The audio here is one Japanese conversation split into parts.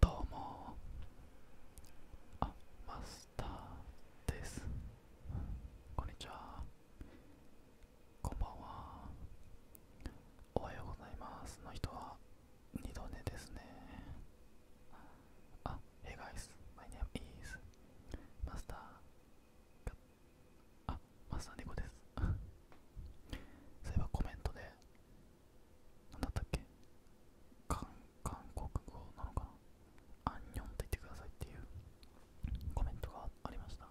どうもあマスターですこんにちはこんばんはおはようございますの人は二度寝ですねあ h e い guys my name is マスターあマスター猫です そういえばコメントで何だったっけ韓国語なのかなアンニョンって言ってくださいっていうコメントがありました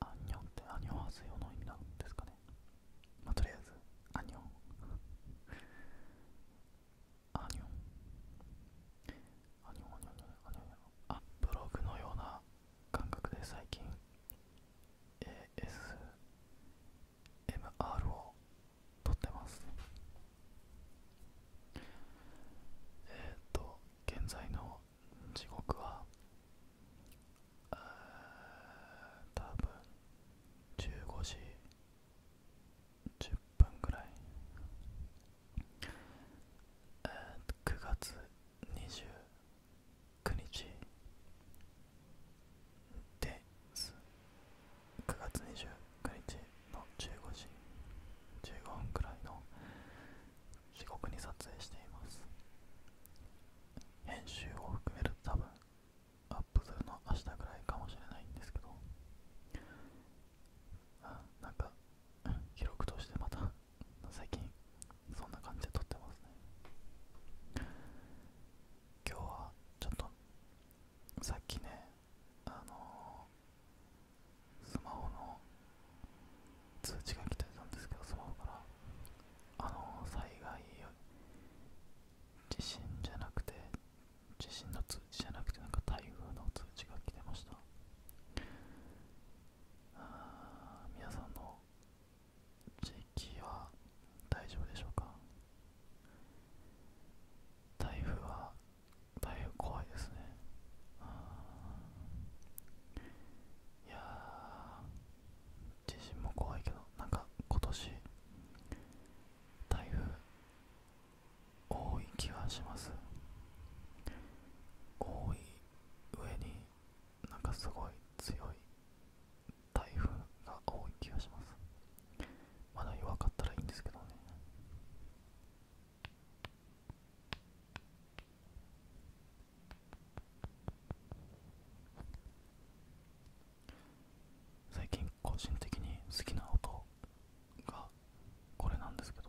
アンニョンってアニョンハセヨの意味なんですかねまあ、とりあえずアニョンアニョンアニョンアニョンアニョンアニョンあブログのような感覚で最近 ASMR を撮ってますえっ、と現在の時刻は多分15時10分ぐらい、えー、9月29日です9月29日の15時15分くらいの時刻に撮影しています編集を含めると多分アップするの明日くらいかもしれないんですけどあなんか記録としてまた最近そんな感じで撮ってますね今日はちょっとさっきねあのスマホの通知が来てたんですけどスマホからあの災害地震じゃなくて地震の通知じゃなくてなんか台風の通知が来てましたあ皆さんの地域は大丈夫でしょうか台風は台風怖いですねいや地震も怖いけどなんか今年台風多い気がします多い上になんかすごい強い台風が多い気がしますまだ弱かったらいいんですけどね最近個人的に好きな音がこれなんですけど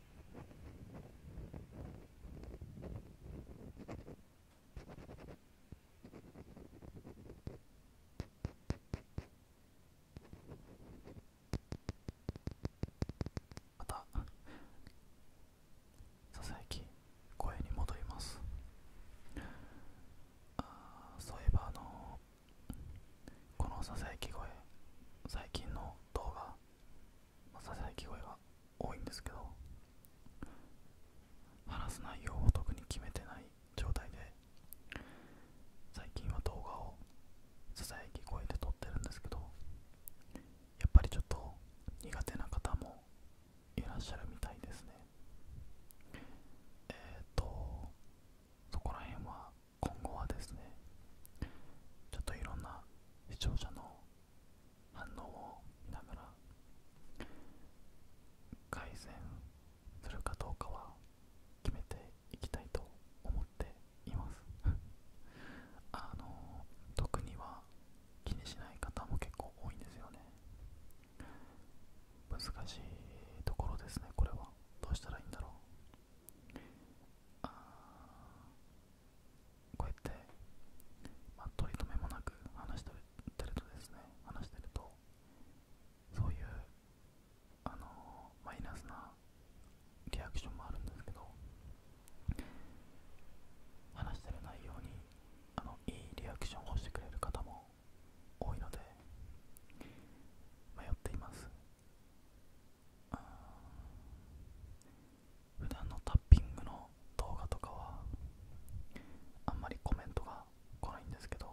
またささやき声に戻りますあそういえばあのこのささやき声最近の動画ささやき声が多いんですけど話す内容を特に決めてない状態で最近は動画をささやき声で撮ってるんですけどやっぱりちょっと苦手な方もいらっしゃるみたいですねえっ、とそこら辺は今後はですねちょっといろんな視聴者の反応を見ながら改善するかどうかは決めていきたいと思っています あの特には気にしない方も結構多いんですよね難しいところですねこれはどうしたらいいんだろうこうやって、まあ、取り留めもなく話してるとですね話してるとそういうあのマイナスなリアクションもあるんですけど話してる内容にあのいいリアクションをしてくれる方も多いので迷っています普段のタッピングの動画とかはあんまりコメントが来ないんですけど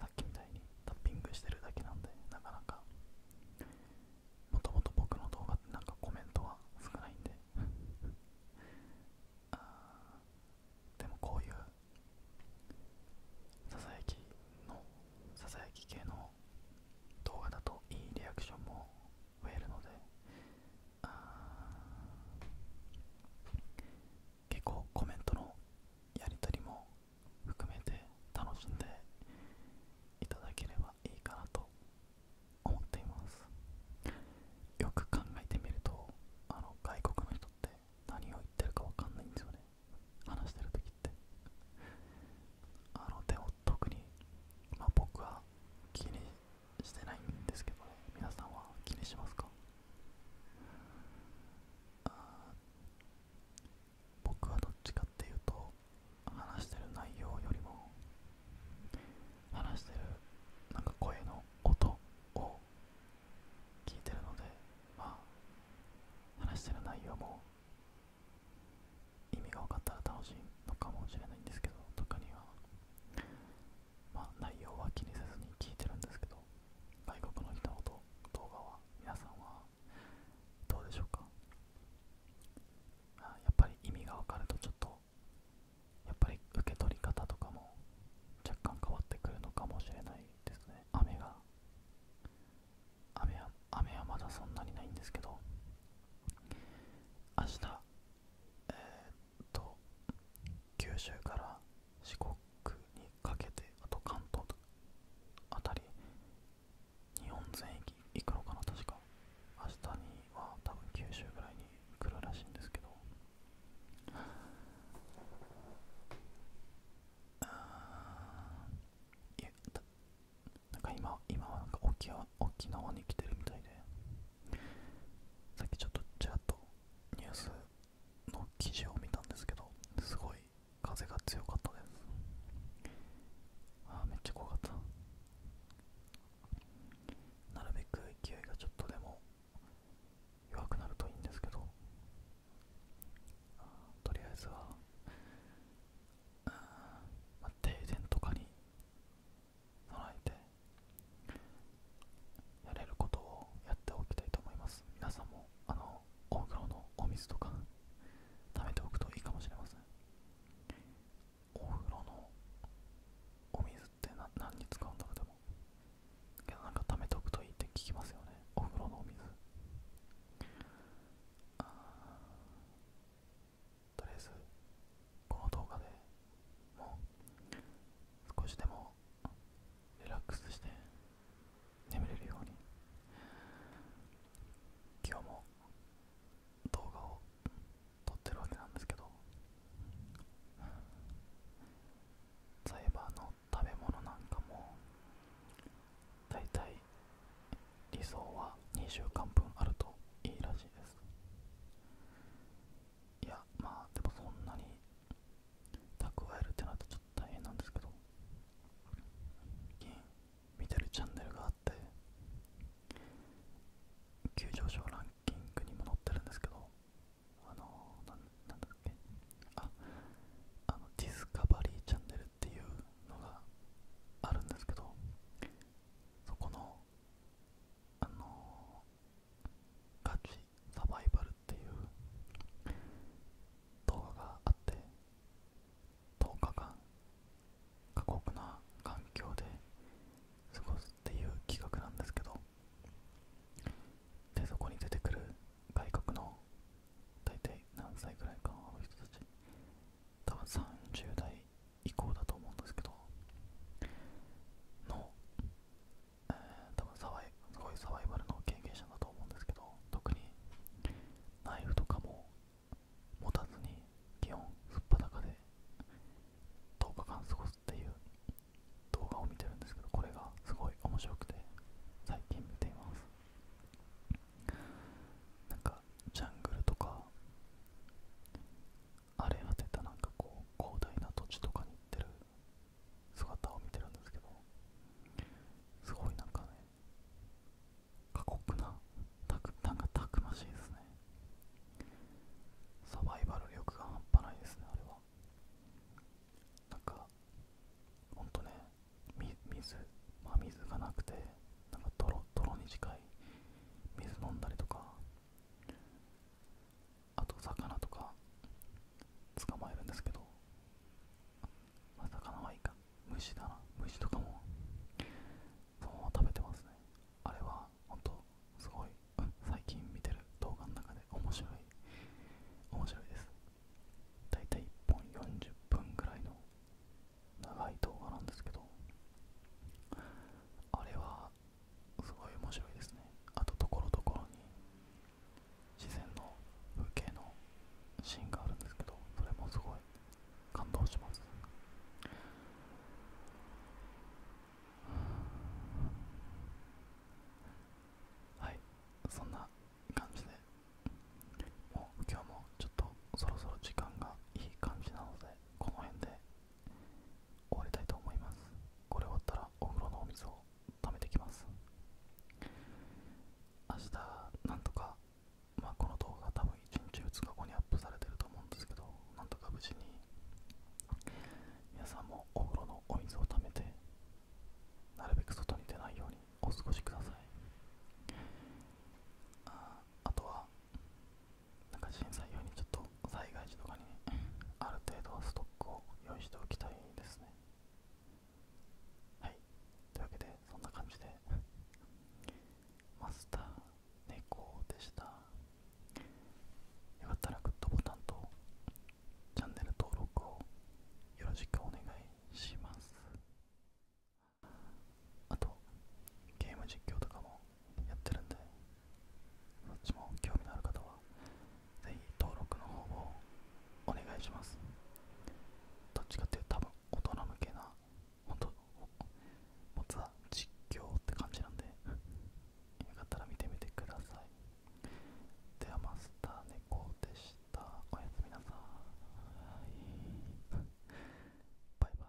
さっきみたいにタッピングしてるだけなんでなかなかもともと僕の動画ってなんかコメントが少ないんで あでもこういうささやきのささやき系の動画だといいリアクションも増えるので結構コメントのやり取りも含めて楽しんでいただければいいかなと思っていますよく考えてみるとあの外国の人って何を言ってるか分かんないんですよね話してる時ってあのでも特にま僕は気にしてないんですけどね皆さんは気にしますか僕はどっちかっていうと話してる内容よりも話してるなんか声の音を聞いてるのでま話してる内容も意味が分かったら楽しいのかもしれないんですけどとかにはまあ内容は気にせずに聞いてるんですけど外国の人ほど動画は皆さんはどうでしょうかやっぱり意味が分かるとちょっとやっぱり受け取り方とかも若干変わってくるのかもしれないですね雨が雨はまだそんなにないんですけど明日えっと九州から四国にかけてあと関東あたり日本全域行くのかな確か明日には多分九州ぐらいに来るらしいんですけどあいえ。なんか今今はなんか沖縄沖縄に来てるみたいでさっきちょっとちャっとニュースの記事を見たんですけどすごい風が強かったですあめっちゃ怖かったなるべく勢いがちょっとでも弱くなるといいんですけどとりあえずは、あ、停電とかに備えてやれることをやっておきたいと思います皆さんもあの大のお水とか貯めておくといいかもしれませんお風呂のお水って何に使うんだろうでもけどなんか貯めておくといいって聞きますよねお風呂のお水あとりあえずこの動画でもう少しでもリラックスして眠れるように今日も動画を撮ってるわけなんですけどサイバーの食べ物なんかもだいたい理想は2週間分あるといいらしいですいやまあでもそんなに蓄えるってなるとちょっと大変なんですけど見てるチャンネルがあって急上昇ランキングにも載ってるんですけどあのなんなんだっけああのディスカバリーチャンネルっていうのがあるんですけどそこのあのガチサバイバルっていう動画があって10日間過酷な環境で過ごすっていう企画なんですけどでそこに出てくる外国の大体何歳ぐらいかの人たち多分30代以降だと思うんですけどの、え多分サバイこいサバイバルの経験者だと思うんですけど特にナイフとかも持たずに基本素っ裸で10日間過ごすっていう動画を見てるんですけどこれがすごい面白くて最近見ていますなんかジャングルとか荒れ果てたなんかこう広大な土地とかに行ってる姿を見てるんですけどすごいなんかね過酷なたくなんかたくましいですねサバイバル力が半端ないですねあれはなんかほんとね水ま水がなくてなんか泥泥に近い水飲んだりとかあと魚とか捕まえるんですけど、まあ、魚はいいか虫だな虫とかもそのまま食べてますねあれはほんとすごい、最近見てる動画の中で面白い面白いですだいたい1本40分ぐらいの長い動画なんですけどあれはすごい面白いですねあとところどころに自然の風景のシーンがあるんですけどそれもすごい感動しますはいそんな感じでもう今日もちょっとそろそろ時間がいい感じなのでこの辺で終わりたいと思いますこれ終わったらお風呂のお水を貯めてきます明日なんとかまあこの動画多分1日2日後にアップされてると思うんですけどなんとか無事に皆さんもお風呂のお水を貯めてなるべく外に出ないようにお過ごしくださいああとはなんか震災用にちょっと災害時とかに、ある程度はストックを用意しておきたいですねはいというわけでそんな感じでマスター猫でしたよかったらグッドボタンとチャンネル登録をよろしくお願いしますあとゲーム実況とかもやってるんでそっちも興味のある方は是非登録の方をお願いしますどっちかっていうと多分大人向けな本当持つは実況って感じなんでよかったら見てみてくださいではマスター猫でしたおやすみなさいバイバイ